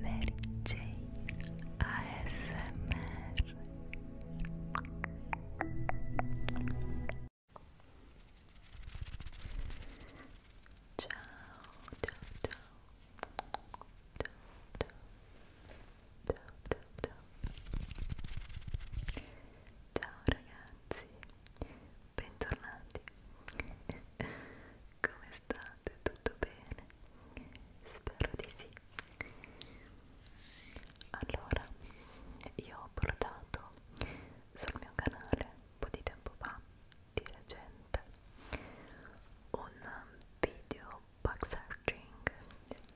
Mary Jane ASMR Ciao, ciao, ciao Ciao, ciao, ciao, ciao Ciao ragazzi, bentornati come state? Tutto bene? Spero di sì. Allora, io ho portato sul mio canale un po' di tempo fa, di recente, un video bug searching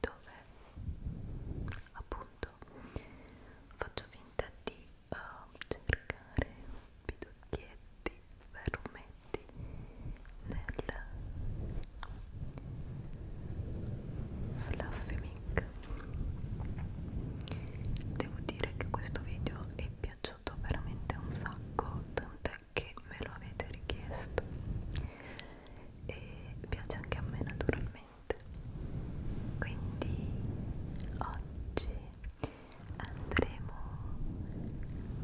dove appunto faccio finta di uh, cercare biducchietti, vermetti nel Fluffy Mic. Devo dire che questo video è piaciuto veramente un sacco, tant'è che me lo avete richiesto e piace anche a me naturalmente. Quindi oggi andremo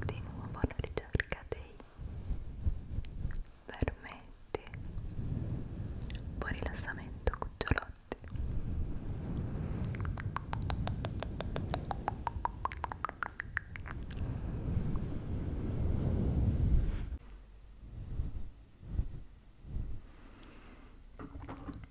di nuovo alla ricerca dei vermetti. Buon rilassamento, cucciolotti. Buonanotte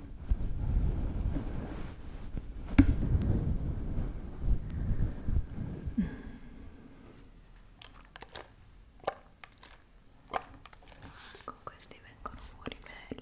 Con questi vengono fuori belli.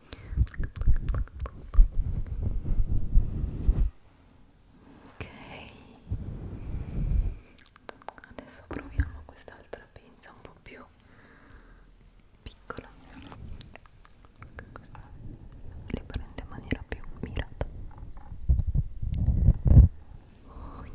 ok adesso proviamo quest'altra pinza un po' più piccola li prende in maniera più mirata ok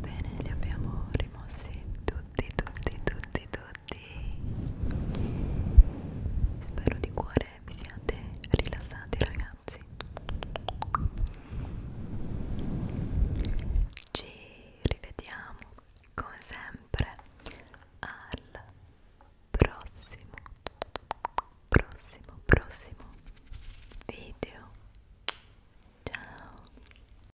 Bene, li abbiamo rimossi tutti tutti, tutti, tutti, tutti. Spero di cuore vi siate rilassati, ragazzi. Ci rivediamo come sempre al prossimo, prossimo, prossimo video. Ciao.